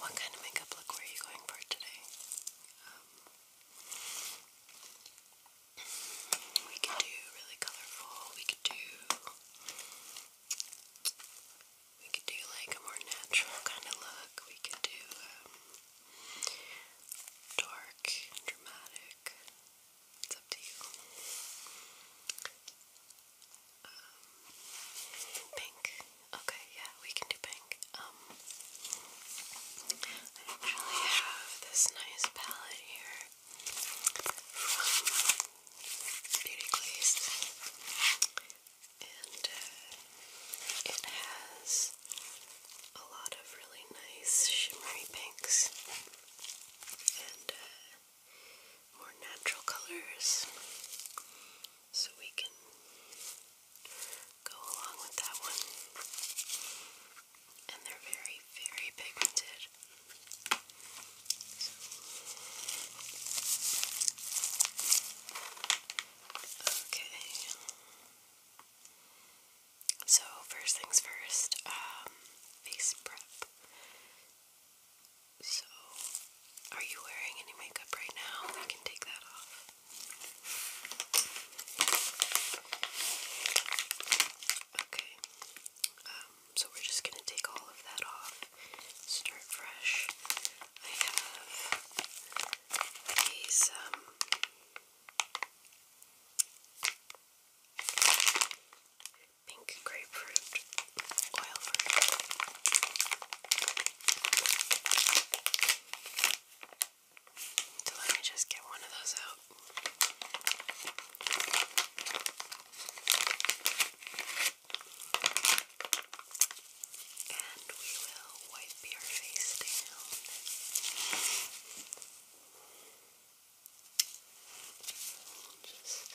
What kind of makeup look were you going for today? Um, we could do really colorful. We could do. We could do like a more natural kind of look. We could do um, dark dramatic. It's up to you. Um, pink. Okay, yeah, we can do pink. Um, I actually have this nice palette here from Beauty and uh, it has a lot of really nice shimmery pinks and uh, more natural colors so we can go along with that one. And they're very, very pigmented. okay. So, first things first, um, face prep. So, are you wearing any makeup right now? We can take that off. Okay. Um, so we're just gonna take all of that off. Start fresh. I have these pink grapefruit oil. So let me just get one of those out. And we will wipe your face down. Just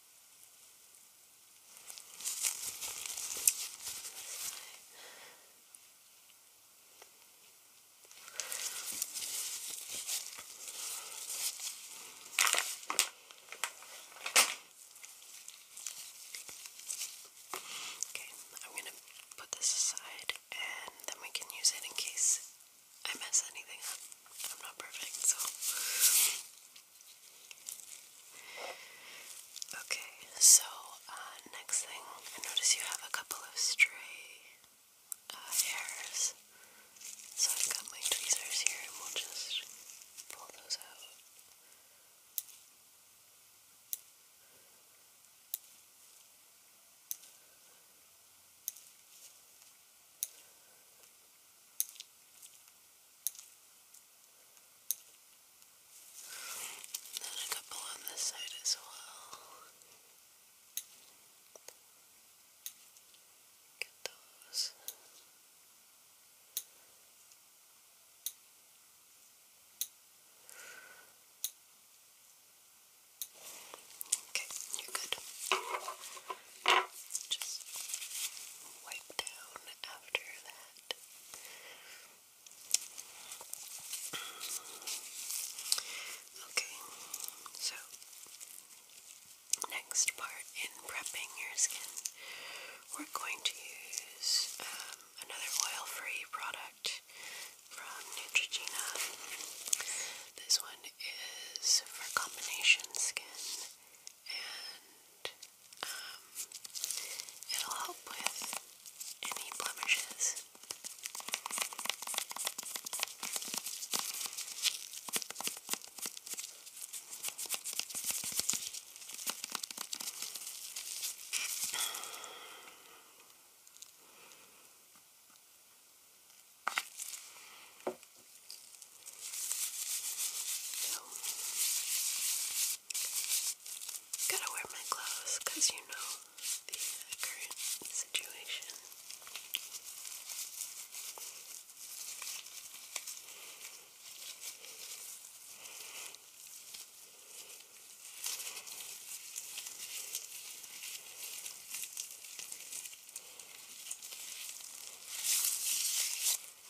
Okay, I'm going to put this aside and then we can use it in case I mess anything up. I'm not perfect, so Okay, so uh, next thing, I notice you have a couple of stray uh, hairs. So I've got my tweezers here and we'll just pull those out. Then a couple on this side as well. Get those. Okay, you're good. Just wipe down after that. Okay, so next part in prepping your skin, we're going to use um, another oil-free product from Neutrogena. This one is for combination skin and um, it'll help with any blemishes gotta wear my gloves because you know the uh, current situation. Okay,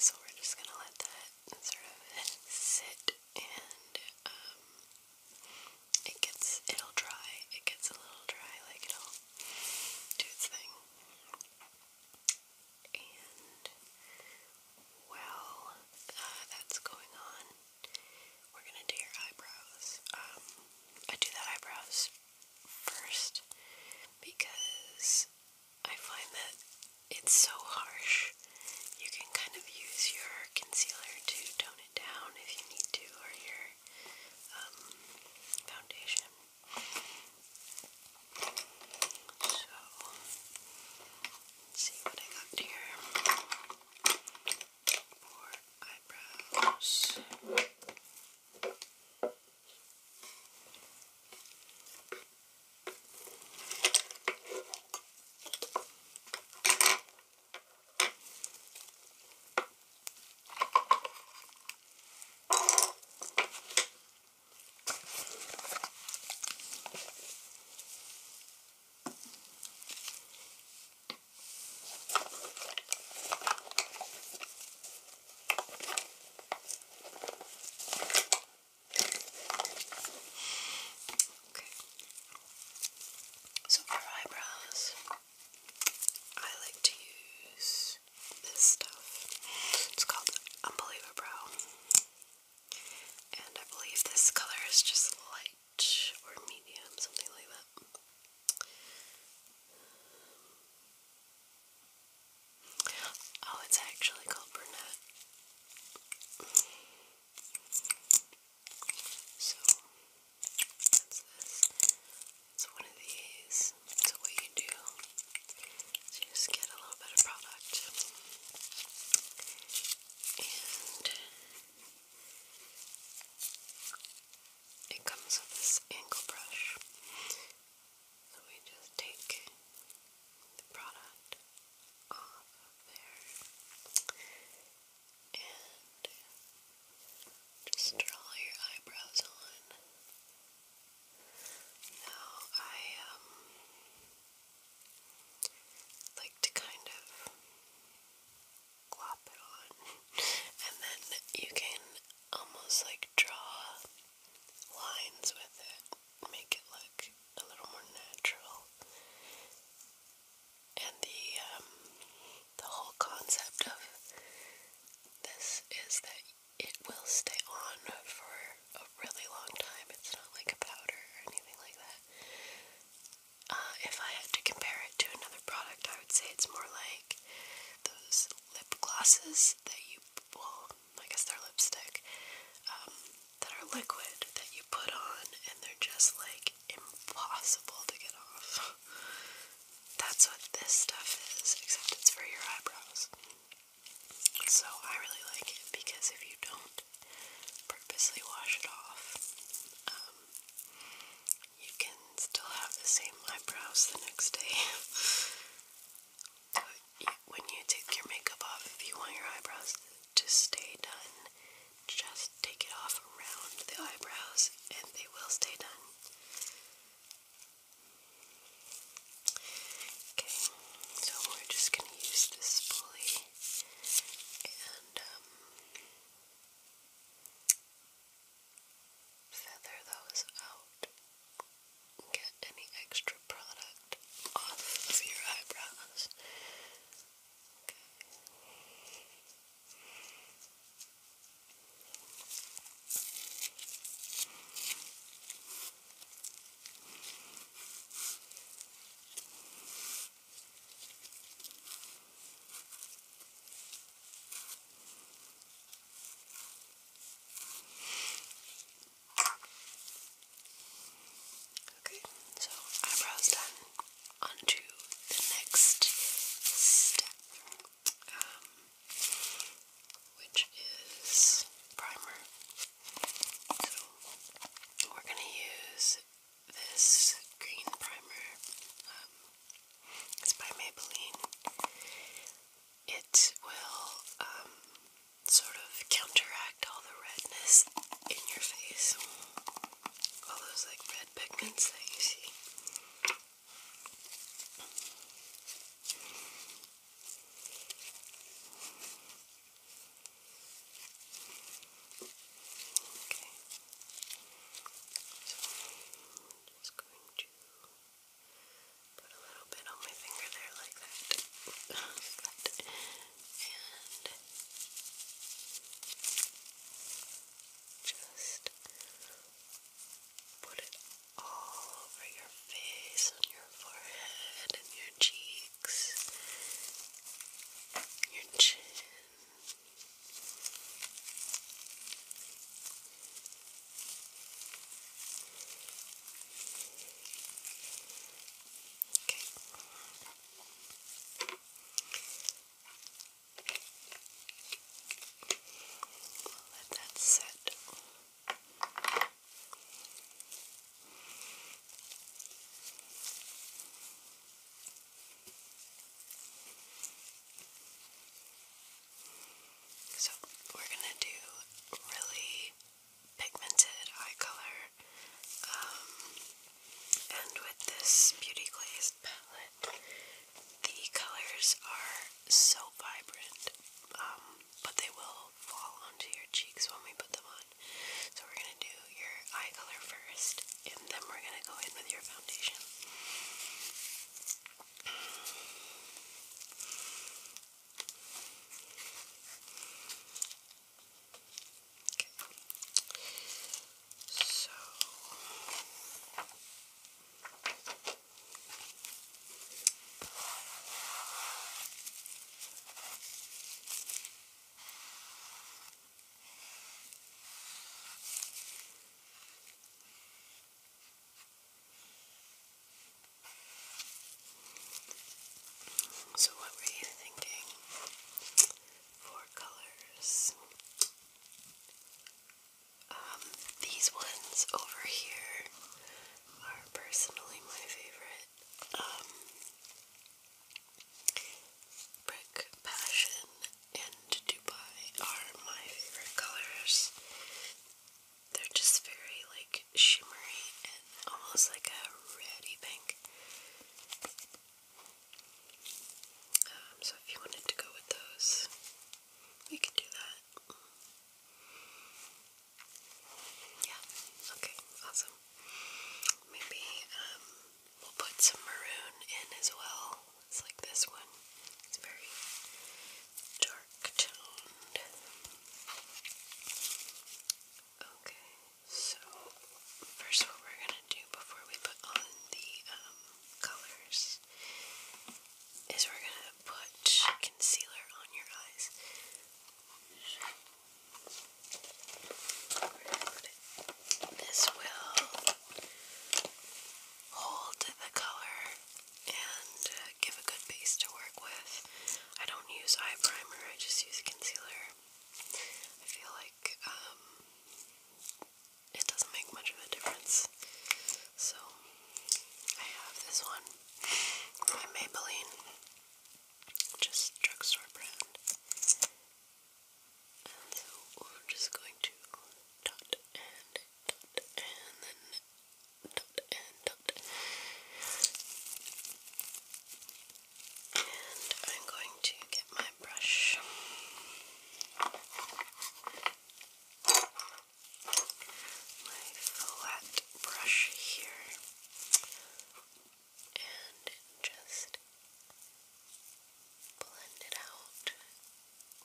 so we're just gonna let that sort of sit and um, it gets it'll dry. It gets a little dry, like it'll do its thing. And uh, that's going on, we're gonna do your eyebrows. Um, I do the eyebrows first because I find that it's so harsh. You can kind of use your concealer to tone it down if you need to, or your um, foundation. So, let's see what I got here. For eyebrows. Okay. So for eyebrows, I like to use this stuff. It's called Unbeliever Brow. And I believe this color is just light or medium, something like that. oh, it's actually called brunette. So, that's this. It's one of these. So what you do just get a little bit of product and it comes with this angle brush. So we just take the product off there and just draw your eyebrows on. Now I um like to kind of glop it on and then you can almost like draw lines with it, make it look a little more natural. And the um the whole concept of this is that it will stay on for a really long time. It's not like a powder or anything like that. Uh, if I had to compare it to another product, I would say it's more like those lip glosses that you, well, I guess they're lipstick, um, that are liquid that you put on and they're just like impossible to get off. That's what this stuff is, except it's for your eyebrows. So I really like it because if you don't purposely wash it off, um, you can still have the same eyebrows the next day. but when you take your makeup off, if you want your eyebrows to stay done, just take it off around the eyebrows and they will stay done. Okay, so we're just going to use this pulley and um, feather those out. Get any extra product off of your eyebrows. Okay, so eyebrows done. On to the next step um, which is primer. So we're going to use this green primer. Um, it's by Maybelline. It will um, sort of counteract all the redness in your face, all those like red pigments that you see. I'm just going to put a little bit on my finger there like that. And just Put it all over your face, on your forehead, and your cheeks, your chin. Okay. We'll let that set. So we're gonna do really pigmented eye color, um, and with this beauty glazed palette, the colors are so so vibrant, um, but they will fall onto your cheeks when we put them on. So we're gonna do your eye color first, and then we're gonna go in with your foundation. Okay. So, so, what were you thinking? Four colors. Um, these ones over here are personally my favorite. Brick um, Passion and Dubai are my favorite colors. They're just very like shimmery and almost like a reddy pink. Um, so if you wanted to go with those, you could do that. Yeah, okay, awesome. Maybe um, we'll put some maroon in as well. It's like this one, it's very dark toned. Okay, so first, what we're gonna do before we put on the um, colors is we're going to put concealer on your eyes. This will hold the color and uh, give a good base to work with. I don't use eye primer, I just use concealer. I feel like um, it doesn't make much of a difference. So I have this one by Maybelline, just drugstore brand. And so we're just going to dot and dot and then dot and dot. And I'm going to get my brush my flat brush here and just blend it out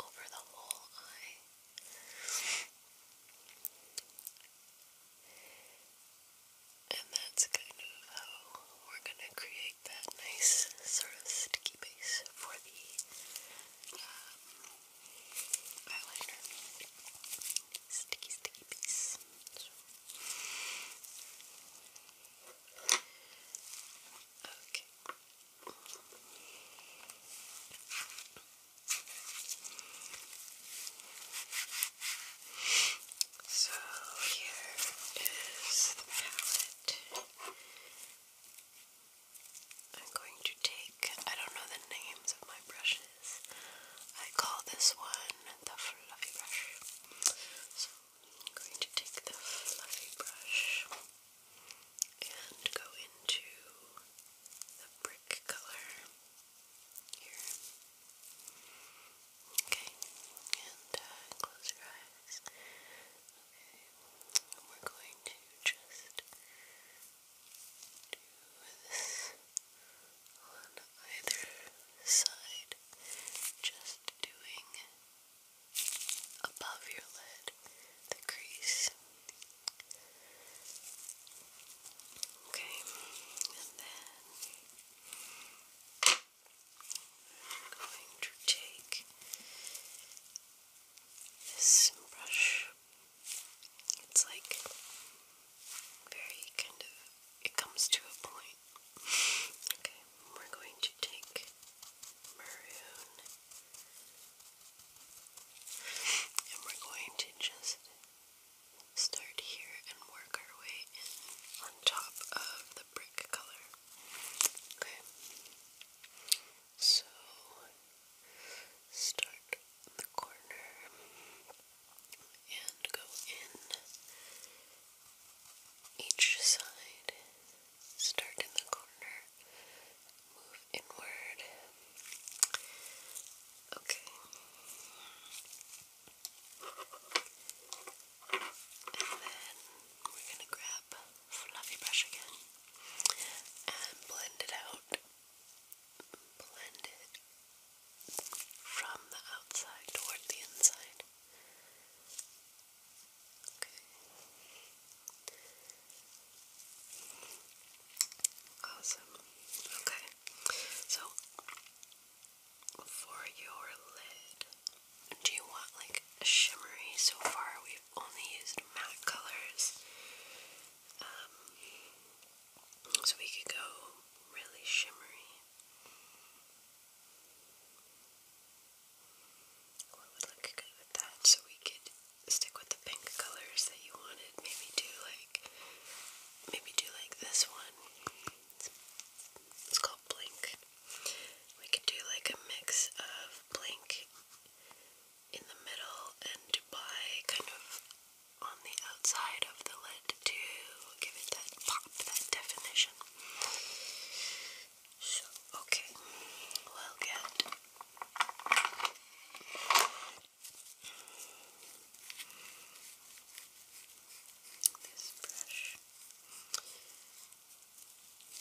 over the whole eye. And that's kind of how we're going to create that nice sort of sticky base for the um, eyeliner. Sticky, sticky piece. Okay. So here is the palette. I'm going to take, I don't know the names of my brushes, I call this one the fluffy brush. So I'm going to take the fluffy brush and go into the brick color Okay, and uh, close your eyes. we're going to just on either side, just doing uh, above your lid the crease. Okay, and then I'm going to take this brush it's like very kind of, it comes to a point. Okay, we're going to take maroon and we're going to just start here and work our way in on top of the brick color. Okay. So start in the corner and go in each side. Start in the corner, move inward. Okay. And then we're going to grab fluffy brush again and blend it out. Blend it from the outside toward the inside. Okay. Awesome. Okay. So for your lid, do you want like shimmery? So far, we've only used matte colors. Um, so we could go really shimmery. What would look good with that? So we could stick with the pink colors that you wanted. Maybe do like, maybe do like this one. It's called Blink. We could do like a mix of Blink in the middle and Dubai kind of on the outside of the lid to give it that pop, that definition. So, okay, we'll get this brush.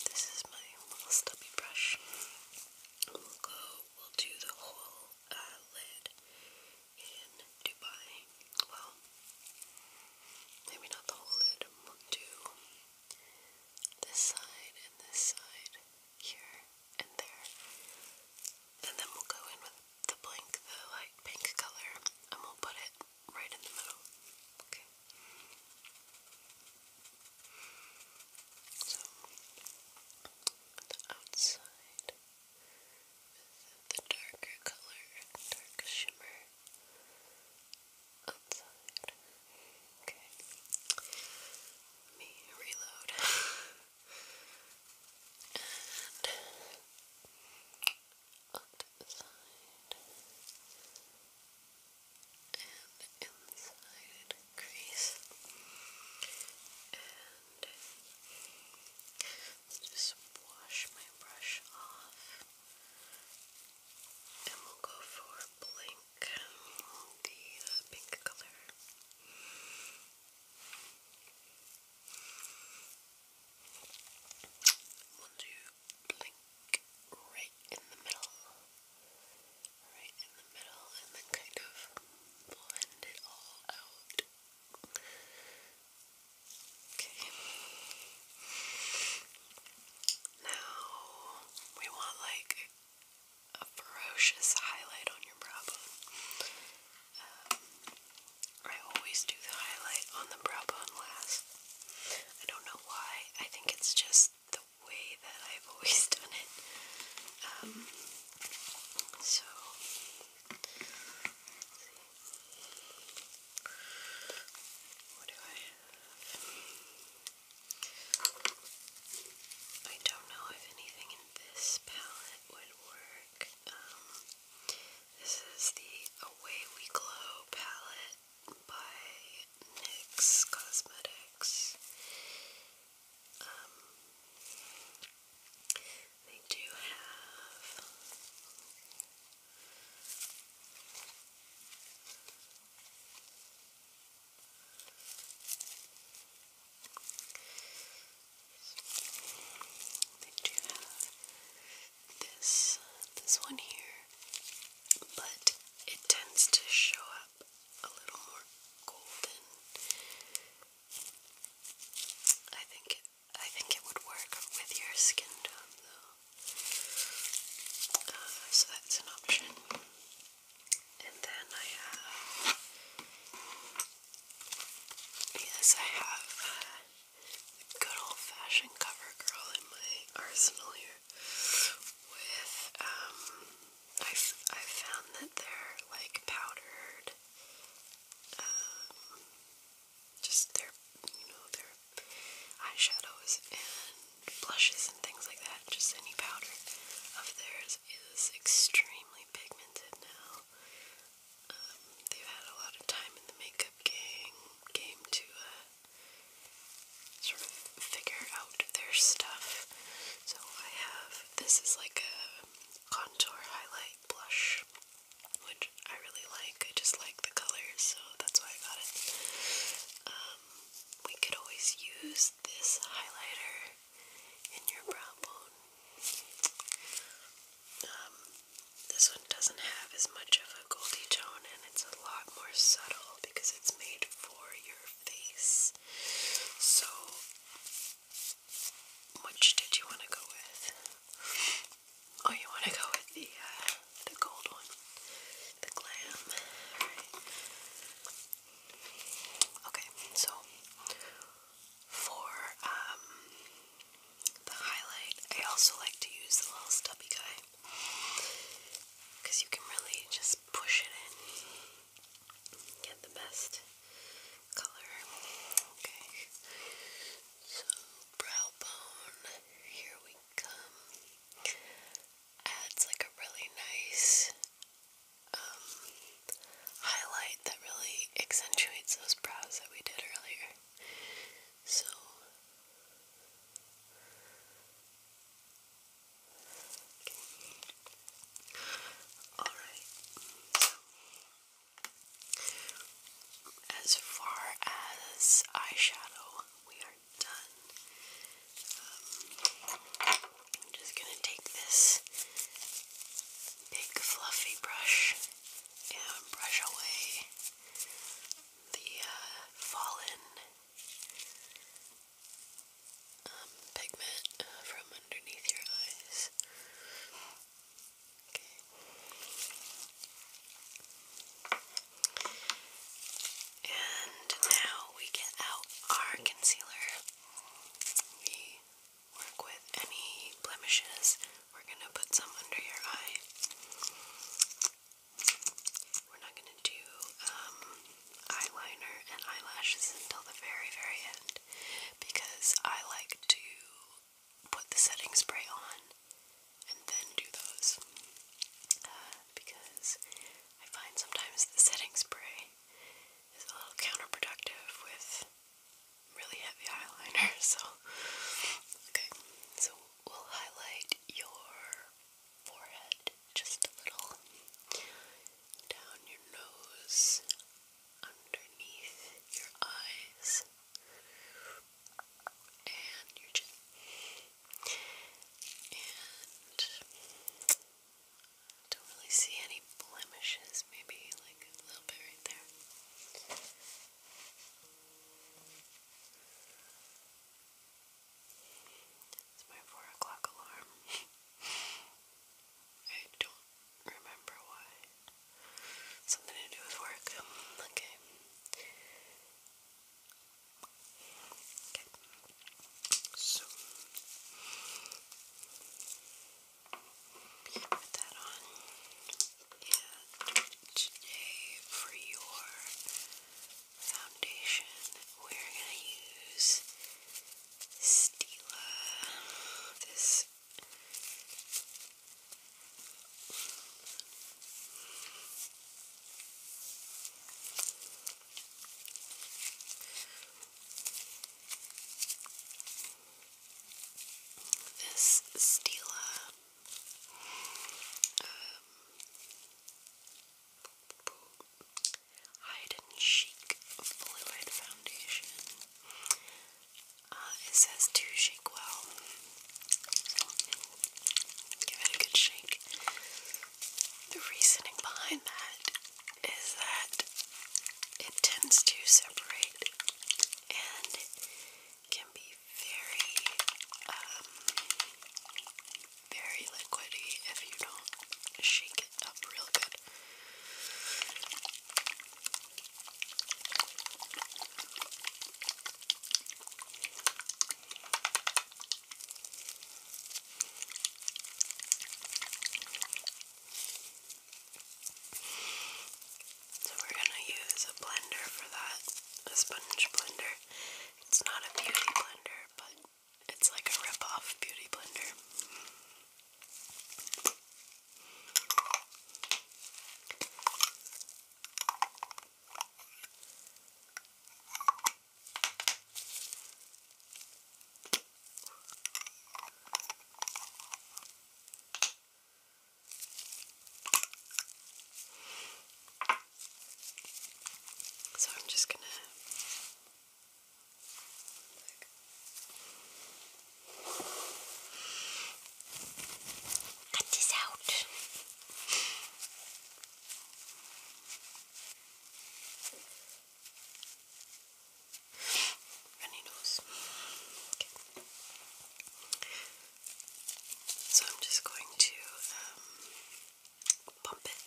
This is my little stubby brush. We'll go, we'll do the whole uh, lid in Dubai. Well, maybe not the whole lid, to this side and this side, here and there. And then we'll go in with the blank, the light pink color, and we'll put it right in the middle. Okay. So, the outside the darker color, dark shimmer outside. Okay. me reload. and onto the side. And inside crease hand. Just wash my brush off. And we'll go for Blink, the uh, pink color. We'll do blink right in the middle. Right in the middle, and then kind of blend it all out. Okay. Now we want like a ferocious highlight on your brow bone. Um, I always do the highlight on the brow bone last. I don't know why. I think it's just the way that I've always done it. Um, so I don't know if anything in this palette would work. Um, this is the Away We Glow palette by NYX Cosmetics. Um, they do have they do have this this one here, but it tends to show up a little more golden. I think I think it would work with your skin tone though. Uh, so that's an option. And then I have. Yes, I have uh, good old fashioned cover girl in my arsenal here. With, um, I've, I've found that they're like powdered. Um, just their, you know, their eyeshadows and blushes and things like that. Just any powder of theirs is extremely pigmented now. Um, they've had a lot of time in the makeup game game to uh, sort of figure out their stuff. So I have this is like a contour highlight blush which I really like. I just like the colors, so that's why I got it. Um, we could always use this highlighter in your brow bone. Um, this one doesn't have as much of a goldy tone and it's a lot more subtle because it's made for your face. So which did you want to go with? Oh, you want to go with the uh, the gold one, the glam. Okay, so for um the highlight, I also like to use the little stubby guy because you can really just push it in, get the best color. Okay. So brow bone, here we come. Adds like a really nice um, highlight that really accentuates those brows that we did earlier. So Okay. Alright, as far as eyeshadow, we are done. Um, I'm just gonna take this big fluffy brush and brush away the uh, fallen um, pigment uh, from underneath your eyes. And now we get out our concealer. We work with any blemishes. We're going to put some under your eye. We're not going to do um, eyeliner and eyelashes until the very, very end because I like to put the setting spray on and then do those. Uh, because I find sometimes the setting spray is a little counterproductive with really heavy eyeliner, so okay, so we'll highlight your forehead just a little, down your nose, underneath your eyes and your chin. And don't really see any blemishes, maybe like a little bit right there. It's my four o'clock alarm. I don't remember why. Something to do with work. Okay. So put that on. And today for your foundation we're gonna use Stila. This this Stila um, Hide and Chic Fluid Foundation uh, it says to shake well. give it a good shake. The reasoning behind that is that it tends to separate and can be very, um, very liquidy if you don't shake it up real good. So we're gonna use a blender for that, a sponge blender. It's not a beauty blender, but it's like a rip-off beauty blender. So I'm just going to Cut this out. Runny nose. Okay. So I'm just going to um, it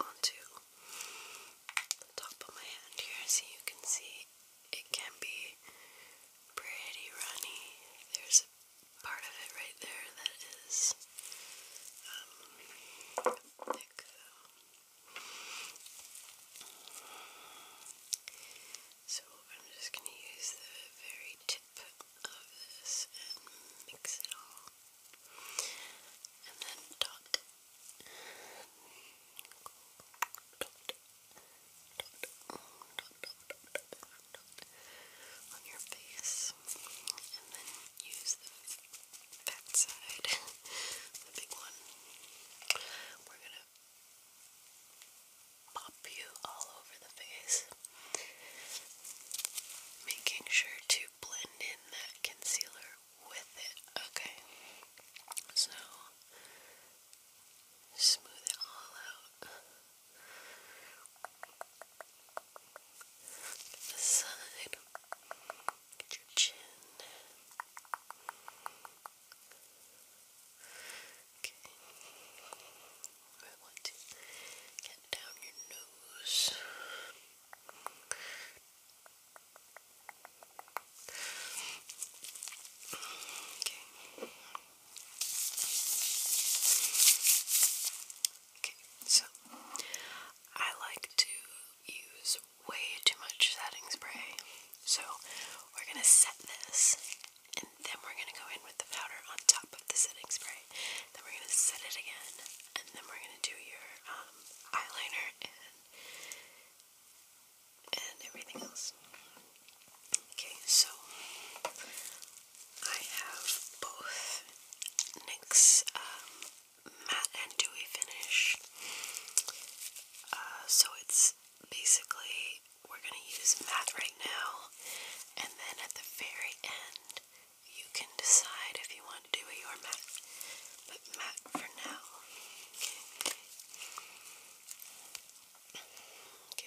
onto the top of my hand here so you can see it can be pretty runny. There's a part of it right there that is um, thick though. So I'm just going to use the very tip of this and mix it all. And then dot. Dot on your face and then use the fat side, the big one. We're gonna pop you all over the face, making sure to blend in that concealer with it, okay? So smooth it all out. Get the side. Get your chin. Okay. I want to get down your nose. Okay. Okay, so I like to use way too much setting spray, so we're gonna set this and then we're gonna go in with the powder on top of the setting spray. Then we're gonna set it again, and then we're gonna do your um, eyeliner and and everything else. Okay, so I have both NYX um, matte and dewy finish. Uh, so it's basically we're going to use matte right now, and then at the very end, you can decide if you want dewy or matte. But matte for now. Okay.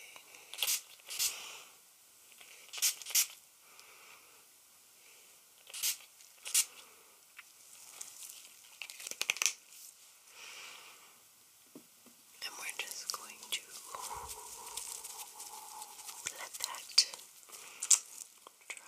And we're just going to let that dry.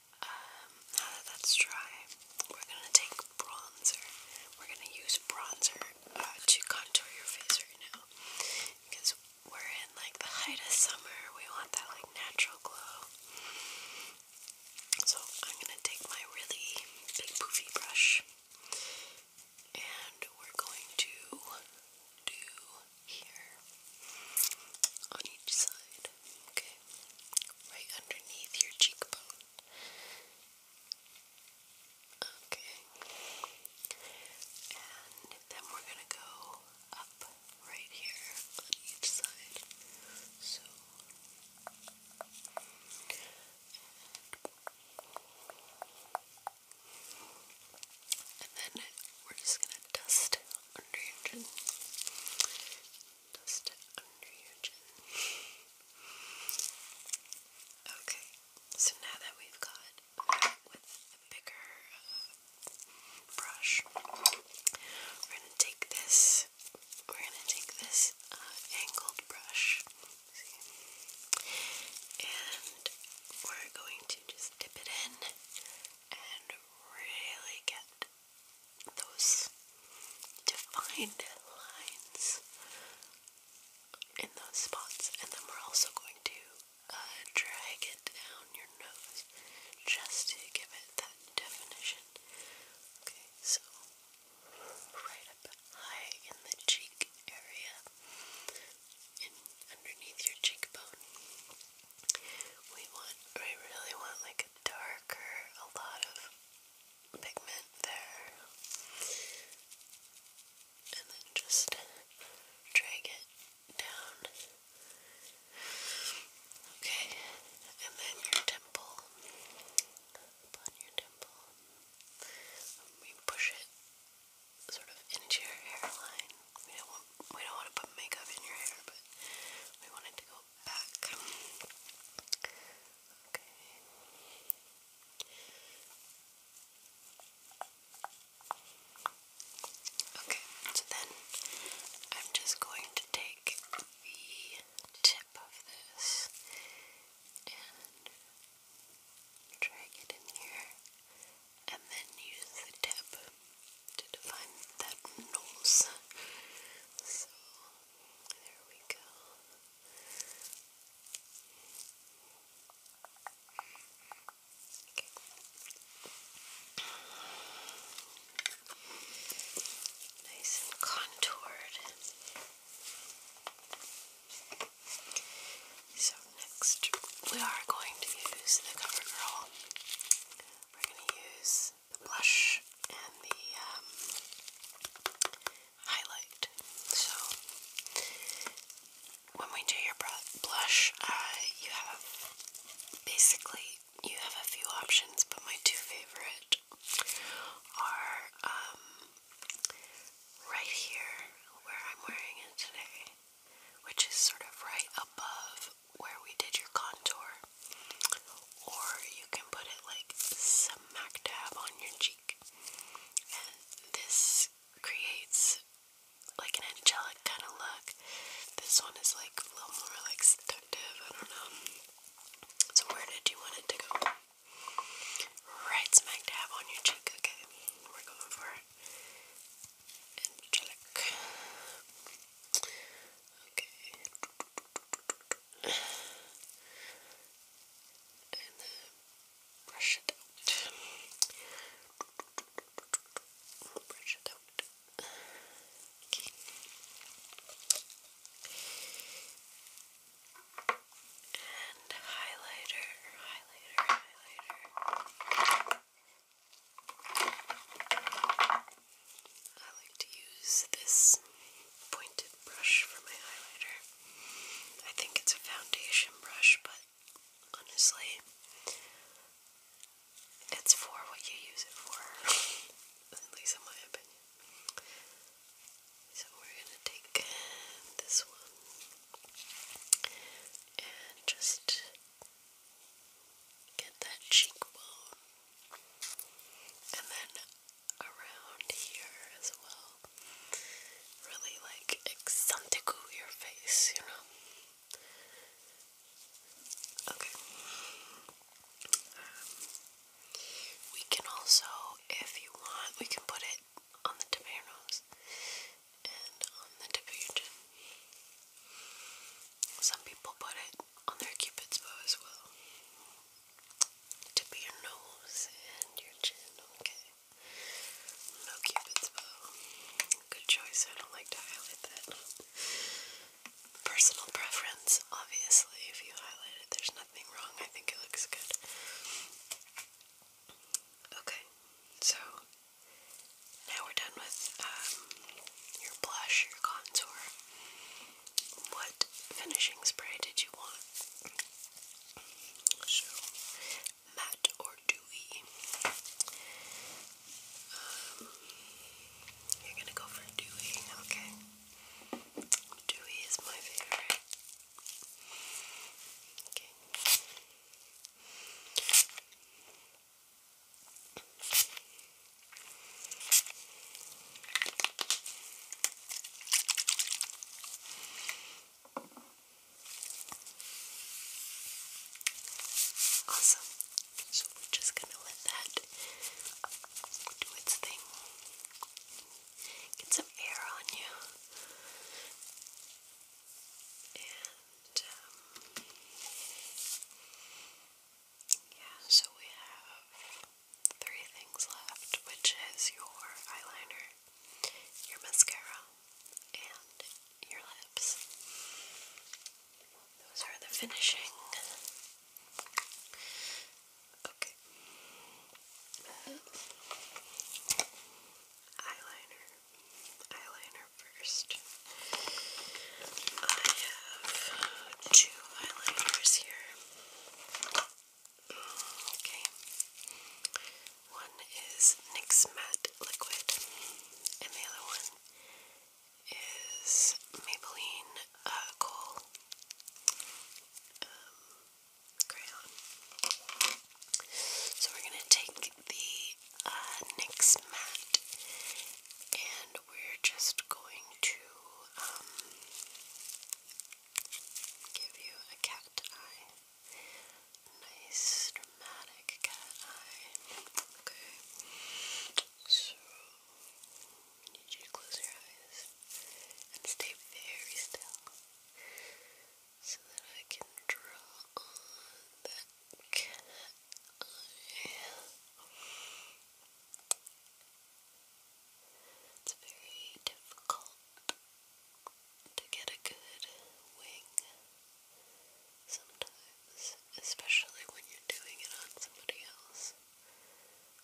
now um, that ah, that's dry, we're gonna take bronzer. We're gonna use bronzer uh, to contour your face right now because we're in like the height of summer. We want that like natural glow. So I'm gonna take my really big poofy brush and we're going to do here on each side, okay, right underneath your cheekbone. Okay. And then we're going to go up right here on each side. So. And then we're just going to dust under your chin. Okay, so now that we've got with a bigger uh, brush, we're gonna take this. We're gonna take this uh, angled brush, and we're going to just dip it in and really get those defined lines in those spots, and then we're also going to uh, drag it down your nose just to give it that definition. Okay, so right up high in the cheek area, in underneath your cheekbone, we want, we really want like a darker, a lot of pigment there. And then just drag it down. Okay, and then your temple. Upon your temple. We push it sort of into your hairline. We don't want we don't want to put makeup in your hair, but we want it to go back. Okay. Okay, so then I'm just going to take the tip of this and drag it in here and then use the tip to define that nose. So there we go. Nice and contoured. So, next we are going to use the CoverGirl. We're going to use the blush and the um, highlight. So when we do your blush, uh, you have basically you have a few options, but my two favorite are um, right here where I'm wearing it today, which is sort of right above where we did your contour, or you can put it like smack dab on your cheek. And this creates like an angelic kind of look. This one is like a little more like seductive, I don't know. So where did you want it to go? Right smack dab on your cheek, okay. We're going for Angelic. Okay and then brush it out. Brush it out. Okay. And highlighter, highlighter, highlighter. I like to use this pointed brush for my highlighter. I think it's a foundation brush, but honestly, it's for what you use it for, at least in my opinion. So we're gonna take this one and just get that cheekbone, and then around here as well. Really like exantigu your face, you know? Okay. Um, we can also, if you want, we can put it on the tip of your nose and on the tip of your chin. Some people put it on their cupid's bow as well tip of your nose and your chin, okay? No cupid's bow. Good choice, I don't like to highlight that. Personal preference, obviously, if you highlight it, there's nothing wrong. I think it looks good. Okay, so now we're done with um, your blush, your contour. What finishing spray did you want? So, matte or dewy? Um, you're gonna go for dewy, okay? Dewy is my favorite. Okay. Awesome. So we're just gonna let that do its thing. Get some air on you. And um, yeah, so we have three things left, which is your eyeliner, your mascara, and your lips. Those are the finishing. Okay. Eyeliner. Eyeliner first. I have two eyeliners here. Okay. One is NYX Matte Liquid, and the other one is Maybelline uh, Kohl um, Crayon. So we're going to take the uh, NYX Matte and we're just going to um, give you a cat eye. Nice, dramatic cat eye. Okay. So, need you to close your eyes and stay very still so that I can draw on that cat eye. It's very difficult to get a good wing sometimes, especially when you're doing it on somebody else.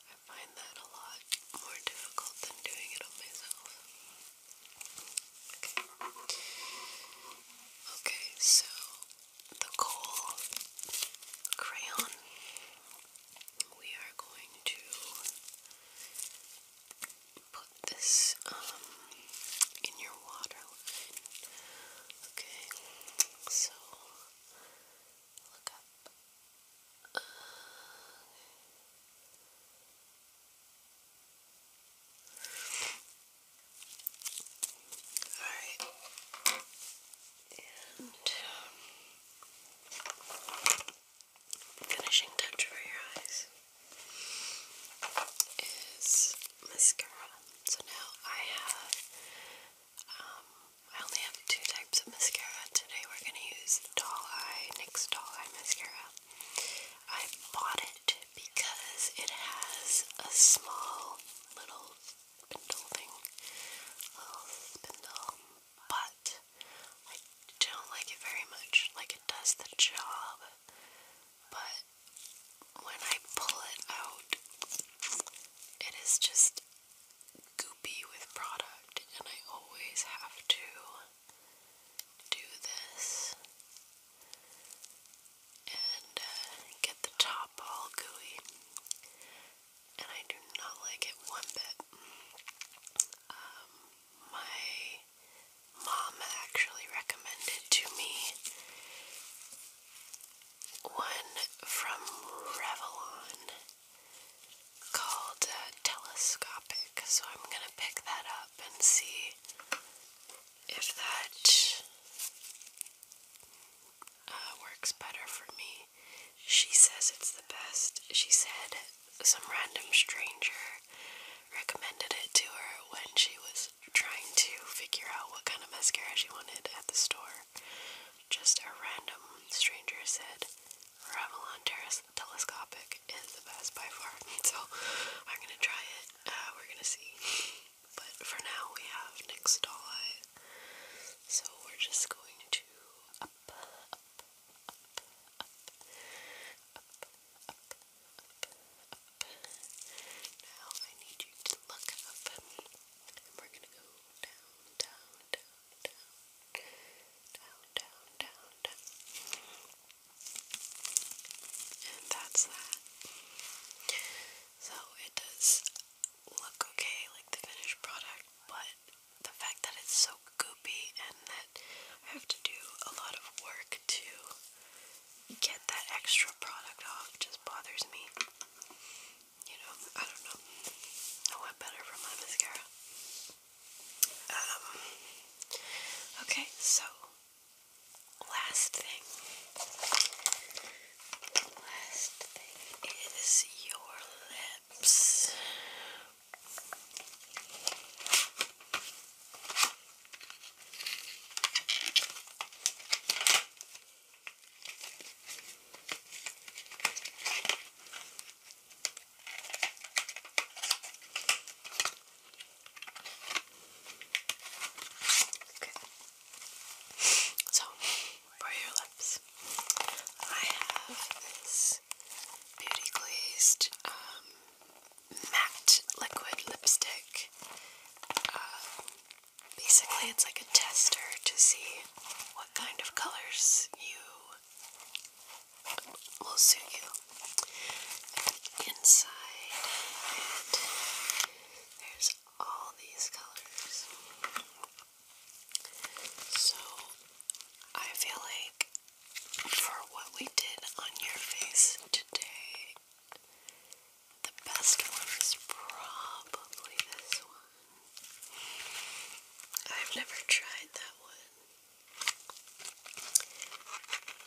I find that a lot more difficult than doing it on myself. Okay, so the coal crayon. We are going to put this um in your water Okay, so look up. All right. And um, finishing touch for your eyes is mascara. So now I have, um, I only have two types of mascara. Today we're going to use Doll Eye, NYX Doll Eye Mascara. I bought it because it has a small little spindle thing, little spindle but I don't like it very much. Like, it does the job, but when I pull it out, it is just goopy with product, and I always have to do this and uh, get the top all gooey. And I do not like it one bit. Um, my mom actually recommended to me one from Revlon called uh, Telescopic, so I'm gonna pick that up and see if that uh, works better for me. She says it's the best. She said some random stranger recommended it to her when she was trying to figure out what kind of mascara she wanted at the store. Just a random stranger said Revlon Terrace Telescopic is the best by far. So I'm gonna try it. Uh, we're gonna see. But for now, we have NYX Doll Eye. So we're just going to up, up, now I need you to look up and we're gonna go down, down, down, down, down, down, down, And that's that. So it does look okay, like the finished product, but the fact that it's so goopy and that I have to do a lot of work to get that extra product off just bothers me. You know, I don't know. I better for my mascara. Um, okay, so last thing. Last thing is your lips. Okay. So, for your lips, I have this beauty glazed um, matte liquid lipstick. Um, basically, it's like a tester to see what kind of colors you will suit you. inside there's all these colors. So I feel like for what we did on your face today. The best one is probably this one. I've never tried that one.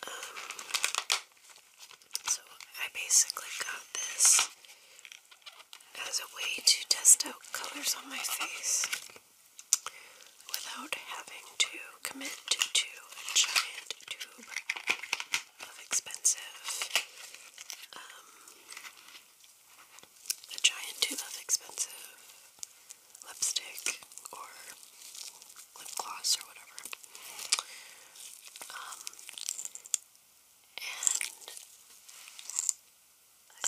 Um, so I basically got this as a way to test out colors on my face without having to commit to a giant tube of expensive, um, a giant tube of expensive lipstick or lip gloss or whatever. Um, and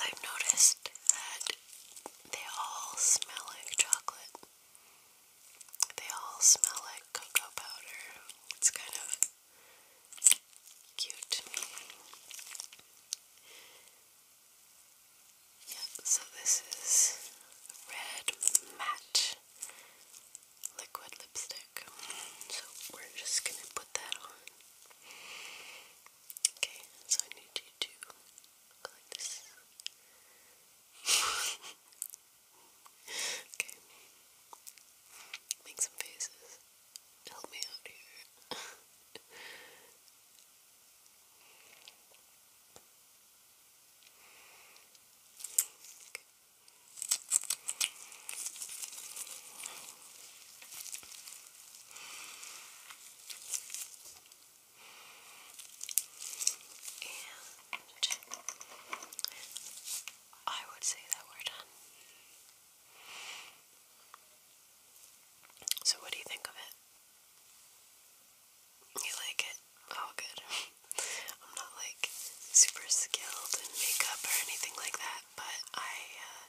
I've noticed that they all smell like chocolate. They all smell like cocoa powder. It's kind of cute. Yeah, so this is red matte liquid lipstick. So we're just gonna put that on. Okay, so I need you to Look like okay. Make some faces. Help me out here. Okay. I would say that we're done. So, what do you think of it? You like it? Oh, good. I'm not like super skilled in makeup or anything like that, but I, uh,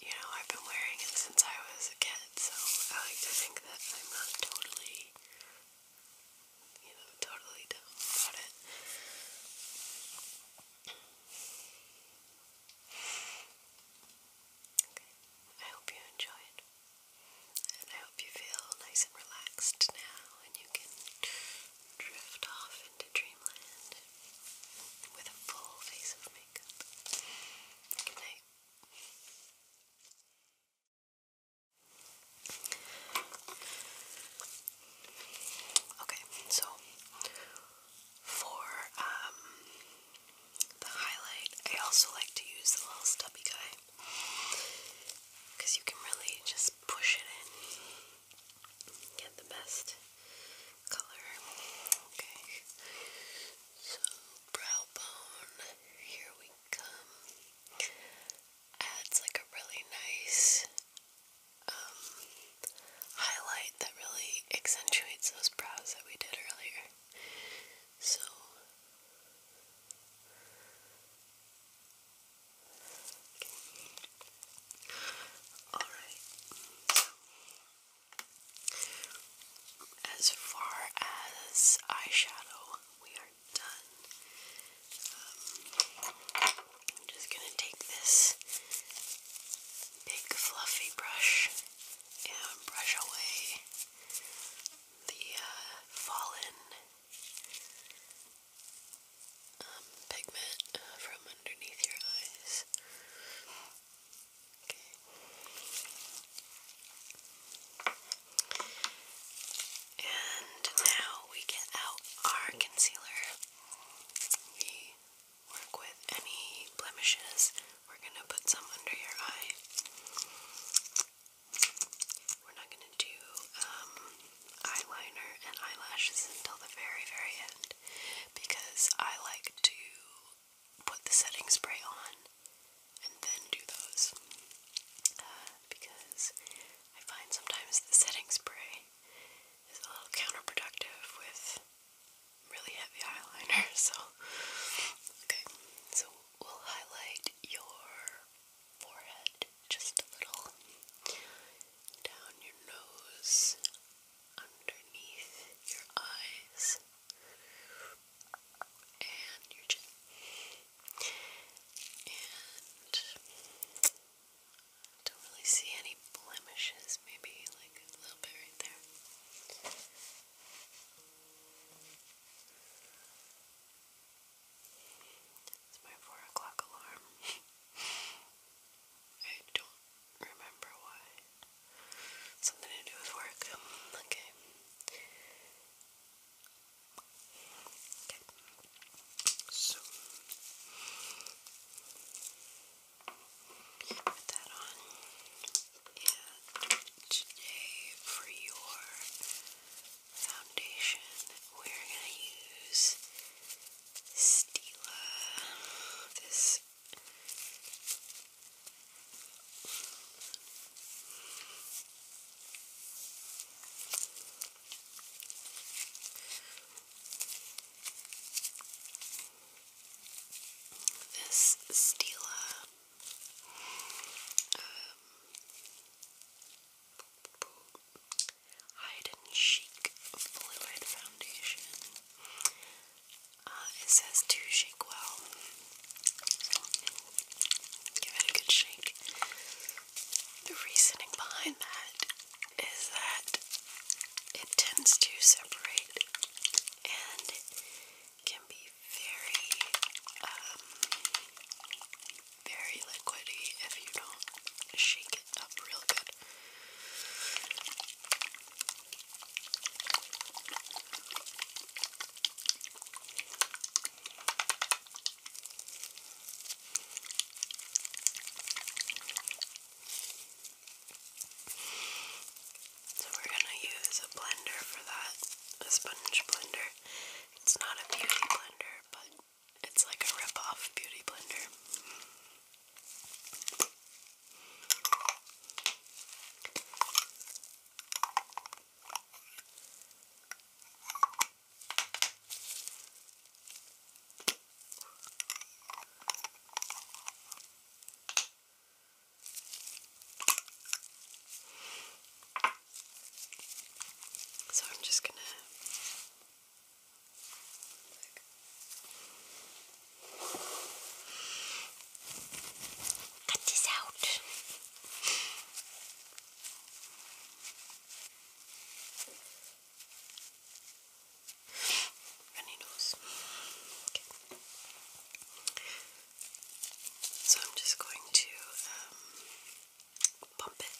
you know, I've been wearing it since I was a kid, so I like to think I'm you know, it. I hope you enjoyed, and I hope you feel nice and relaxed now, and you can drift off into dreamland with a full face of makeup. Good night. Okay, so for um, the highlight, I also like to use the little stubby guy because you can really just push it in, get the best color. Okay, so brow bone, here we um, adds like a really nice um, highlight that really accentuates those brows that we did earlier. So Alright. as far as eyeshadow, we are done. Um, I'm just gonna take this big fluffy brush and brush away the uh, fallen um, pigment uh, from underneath your eyes. Okay. And now we get out our concealer. We work with any blemishes. We're going to put some under your eye. We're not going to do um, eyeliner and eyelashes until the very, very end because I like to put the setting spray on and then do those. Uh, because I find sometimes the setting spray is a little counterproductive with really heavy eyeliner, so okay. So we'll highlight your forehead just a little down your nose underneath your eyes and your chin and don't really see any blemishes, maybe like a little bit right there. It's my four o'clock alarm. I don't remember why. Something to do with work. Okay. Okay. So put that on. And today for your foundation, we're gonna use Stila. This this Stila um, Hide and Chic Fluid Foundation. Uh, it says to shake well. Give it a good shake. The reasoning behind that is that it tends to separate and can be very, um, very liquidy if you don't shake it up real good. So we're gonna use a blender for that, a sponge blender. It's not a beauty blender, but it's like a rip-off beauty blender. So I'm just gonna cut this out. Runny nose. Okay. So I'm just going to um, pump it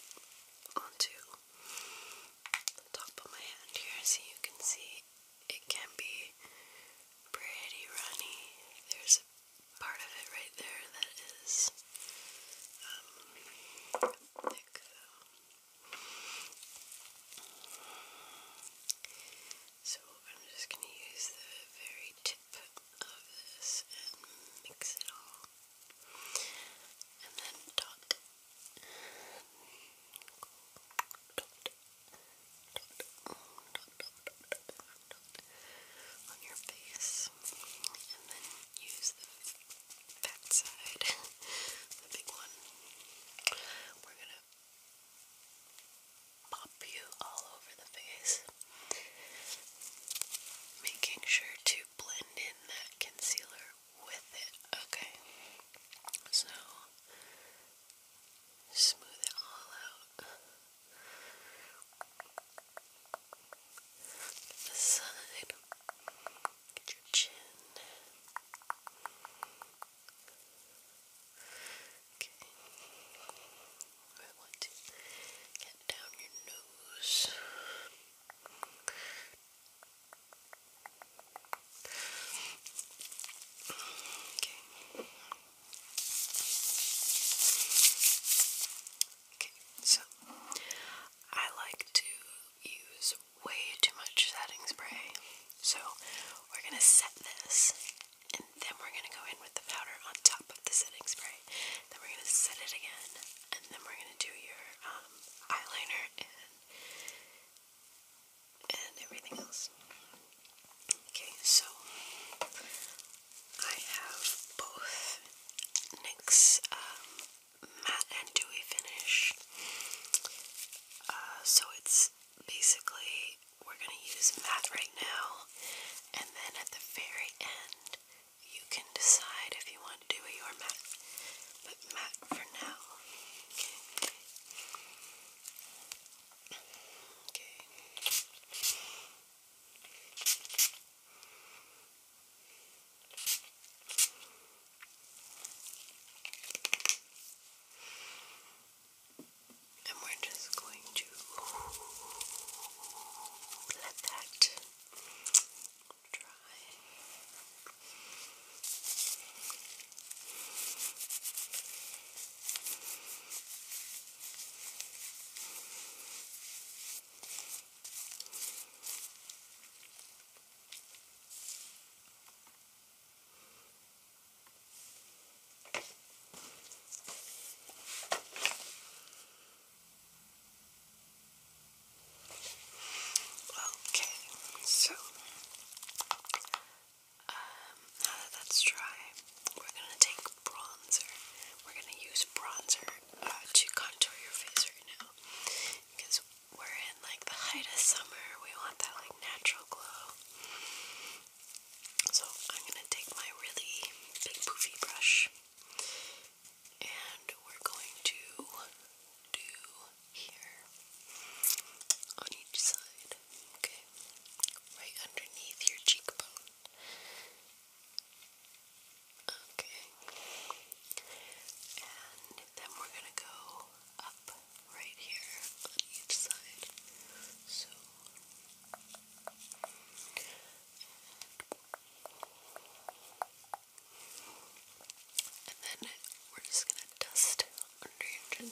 onto the top of my hand here so you can see it can be pretty runny. There's a part of it right there that is um, thick So I'm just going to use the very tip of this and mix it all. And then dot. Dot. Dot. Dot. Dot on your face and then use the fat side, the big one. We're gonna pop you all over the face, making sure to blend in that concealer with it, okay? So, smooth it all out the side, get your chin. Okay, I want to get down your nose. Okay so I like to use way too much setting spray, so we're gonna set this and then we're gonna go in with the powder on top of the setting spray. Then we're gonna set it again, and then we're gonna do your um, eyeliner and and everything else. Okay, so I have both NYX um, matte and dewy finish. Uh, so it's basically we're going to use matte right now, and then at the very end, you can decide if you want to do dewy or matte. But matte for now. Okay. And we're just going to let that dry. Okay, so um, now that that's dry, we're gonna take bronzer. We're gonna use bronzer to contour your face right now because we're in like the height of summer. We want that like natural glow. So I'm gonna take my really big poofy brush and we're going to do here on each side. Okay, right underneath your cheekbone. Okay. And then we're gonna go up right here on each side. So and then we're just gonna dust under your chin.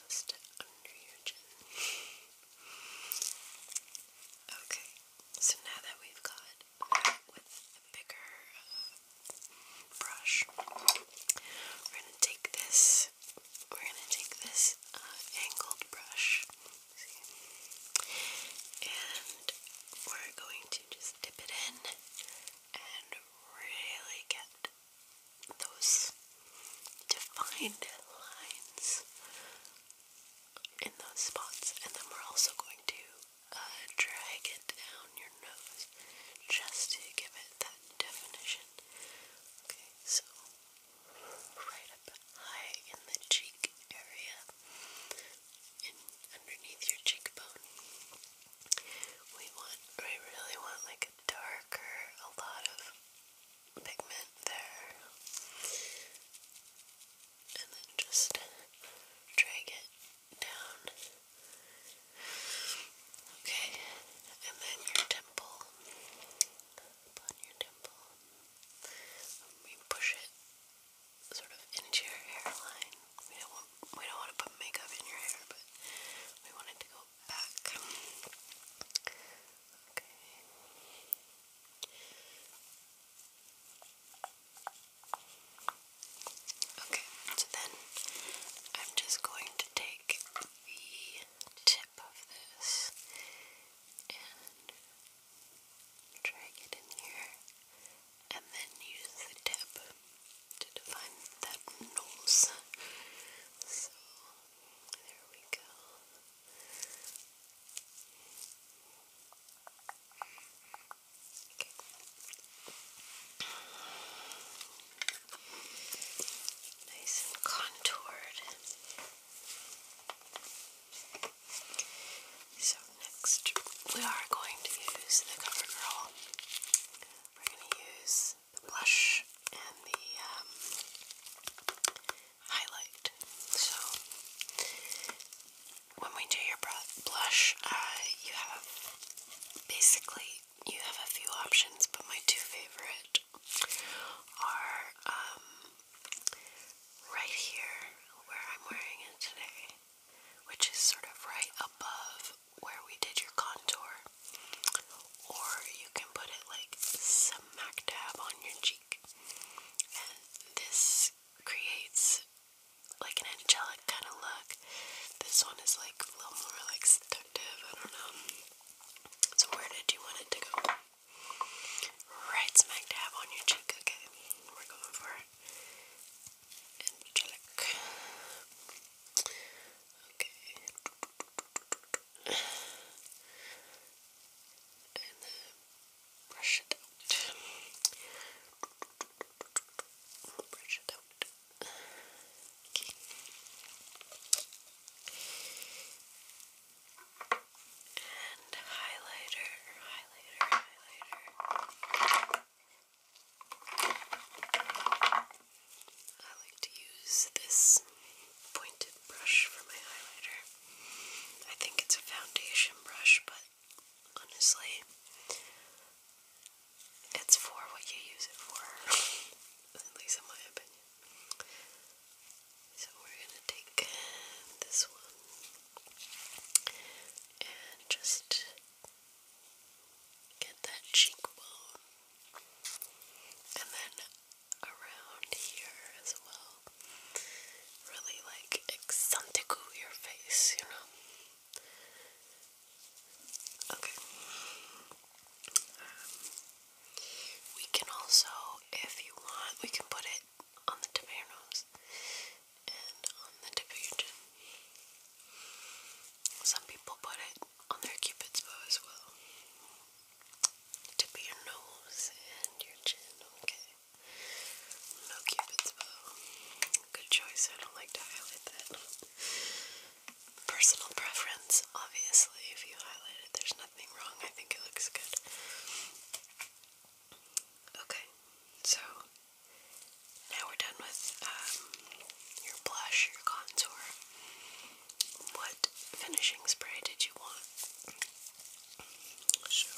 Dust under your chin. Okay, so now that we've got that with the bigger um, brush, we're gonna take this. We're gonna take this uh, angled brush, and we're going to just dip it in and really get those defined lines in those spots, and then we're also going to uh, drag it down your nose just to give it that definition. Okay, so right up high in the cheek area, underneath your cheekbone, we want, we really want like a darker, a lot of pigment there and then just drag it down. Okay, and then your temple, upon your temple, we push it sort of into your hairline. We don't want, we don't want to put makeup in your hair, but we want it to go back. Okay. Okay, so then I'm just going to take the tip of this and drag it in here and then use the tip to define that nose. So there we go. Nice and contoured. So next we are going to use the CoverGirl. We're going to use the blush and the um, highlight. So when we do your blush, uh, you have basically you have a few options, but my two favorite are um, right here where I'm wearing it today, which is sort of right above where we did your contour, or you can put it like smack dab on your cheek. And this creates like an angelic kind of look. This one is like a little more like seductive. I don't know. So where did you want it to go? Right smack dab on your cheek. Okay, we're going for angelic. Okay brush it out. Brush it out. Okay. And highlighter, highlighter, highlighter. I like to use this pointed brush for my highlighter. I think it's a foundation brush, but honestly. It's for what you use it for, at least in my opinion. So we're gonna take this one and just get that cheekbone, and then around here as well really like exantico your face, you know. Okay. Um, we can also, if you want, we can put it on the tip of your nose and on the tip of your chin. Some people put it on their cupid's bow as well. Tip of your nose and your chin, okay. No cupid's bow. Good choice. I don't like to highlight that. Personal preference, obviously. If you highlight it, there's nothing wrong. I think it looks good. Okay, so now we're done with um, your blush, your contour. What finishing spray did you want? So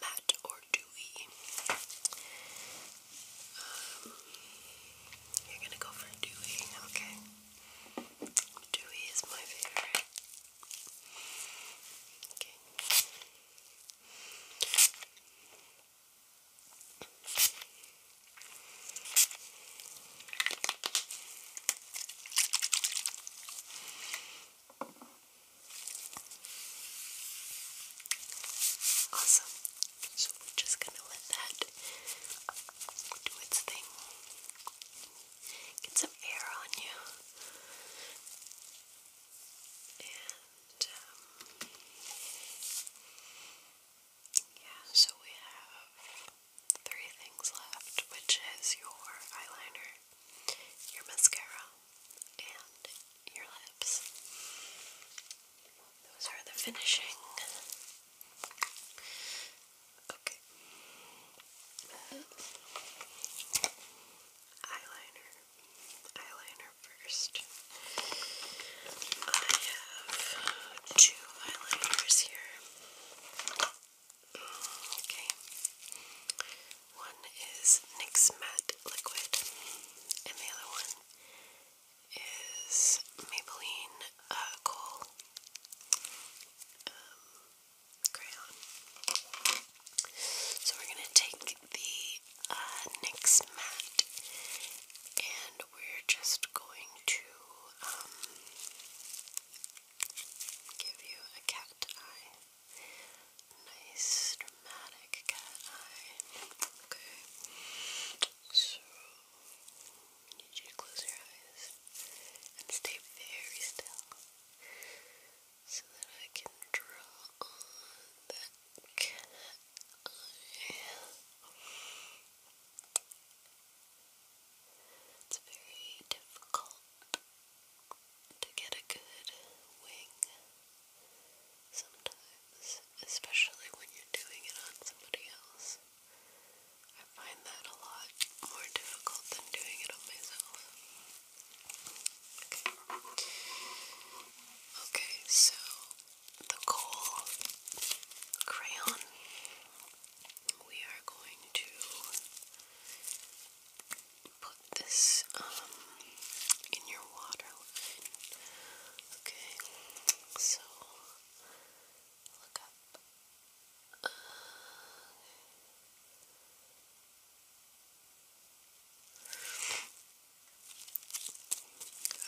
matte or dewy. Um, you're gonna go for dewy, okay? Dewy is my favorite. Okay. Awesome. So we're just gonna let that do its thing. Get some air on you. And um, yeah, so we have three things left, which is your eyeliner, your mascara, and your lips. Those are the finishing. Okay. Eyeliner. Eyeliner first. I have two eyeliners here. Mm, okay. One is NYX Matte Liquid, and the other one is Maybelline uh, um, Crayon. So we're going to take the uh, NYX Matte and we're just going to um, give you a cat eye nice dramatic cat eye. Okay. So need you to close your eyes and stay very still so that I can draw on that cat eye. It's very difficult to get a good wing sometimes, especially when you're doing it on somebody else. I find that a lot more difficult than doing it on myself. Okay, so the coal crayon, we are going to put this um, in your water Okay, so look up. Uh,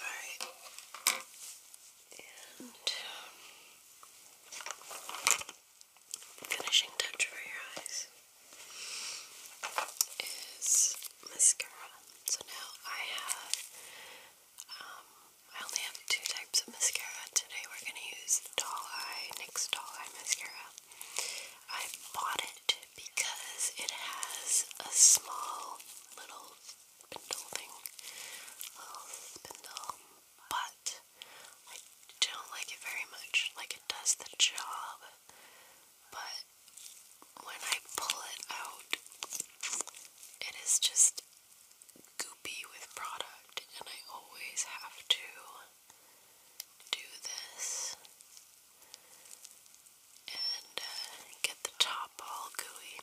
alright. And um, finishing touch for your eyes is mascara. So now I have, um, I only have two types of mascara. Today we're going to use Doll Eye, NYX Doll Eye Mascara. I bought it because it has a small little spindle thing, little spindle, but I don't like it very much. Like it does the job, but when I pull it out, it is just goopy with product, and I always have to do this and uh, get the top all gooey.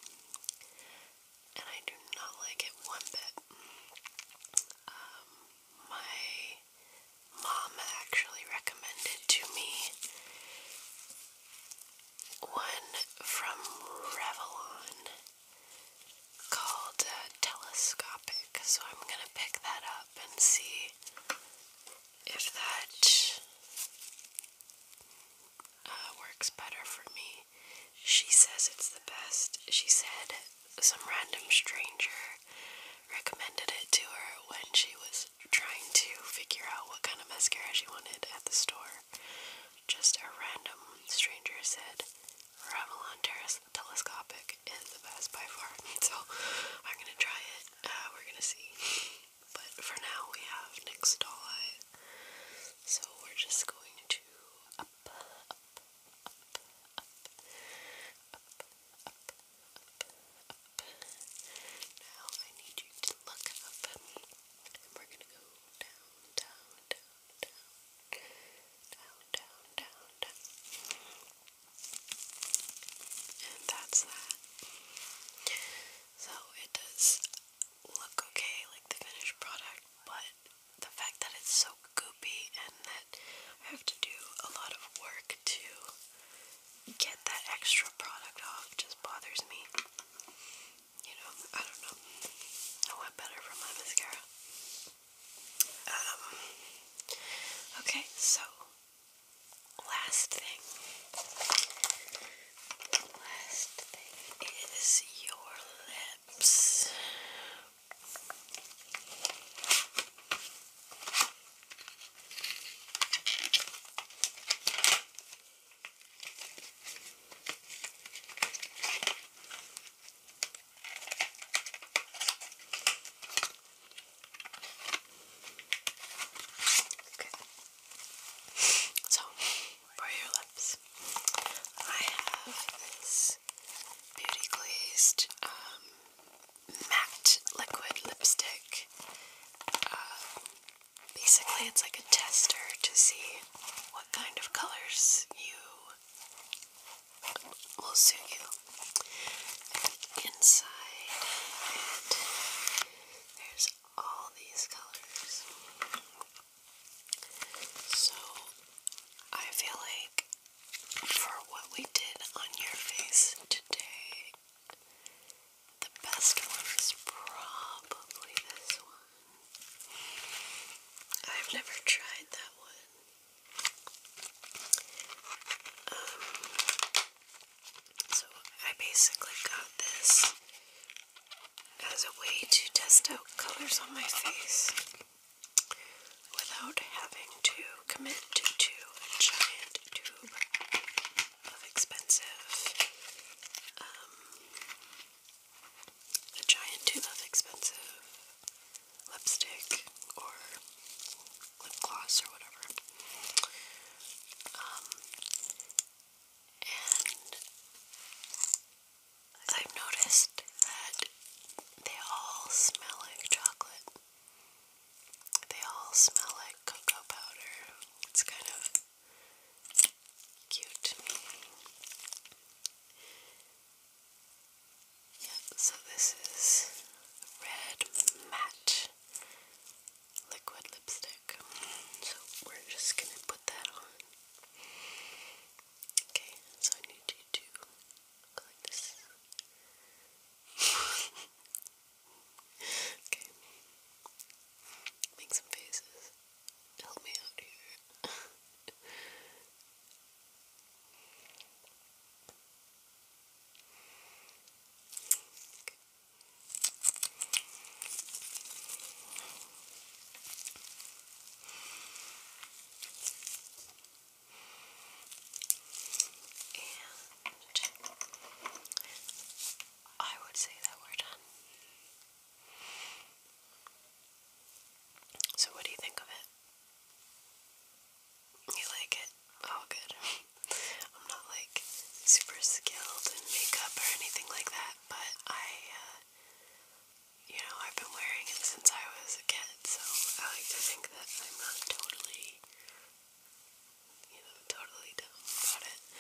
And I do not like it one bit. Um, my mom actually recommended to me one from Revlon called uh, Telescopic, so I'm gonna pick that up and see if that uh, works better for me. She says it's the best. She said some random stranger recommended it to her when she was trying to figure out what kind of mascara she wanted at the store. Just a random stranger said Revlon Terrace Telescopic is the best by far. So I'm gonna try it. we're gonna see. But for now, we have NYX Doll Eye. So we're just going to up. Now I need you to look up. And we're gonna go down, down, down, down, down, down, down, And that's that. So it does look okay, like the finished product, but the fact that it's so goopy and that I have to do a lot of work to get that extra product off just bothers me. You know, I don't know. I want better for my mascara. Um, okay, so last thing. Last thing is your lips. Okay. So, for your lips, I have this beauty glazed um matte liquid lipstick. Um, basically, it's like a tester to see what kind of colors you will suit you. inside it, there's all these colors. So, I feel like for what we did on your face today, the best one is probably this one. I've never tried that one. Um, so I basically got this as a way to test out colors on my face without having to commit to a giant tube of expensive, um, a giant tube of expensive lipstick or lip gloss or whatever. Um, and I've noticed that they all smell like chocolate. They all smell like cocoa powder. It's kind of cute. Yeah, so this is red matte liquid lipstick. So we're just gonna put that on. Okay, so I need you to go like this. Okay. Make some faces. Help me out here. okay. I would say that we're done. So, what do you think of it? You like it? Oh, good. I'm not like super skilled in makeup or anything like that, but I, uh, you know, I've been wearing it since I was a kid, so I like to think that I'm not totally you know, totally dumb about it.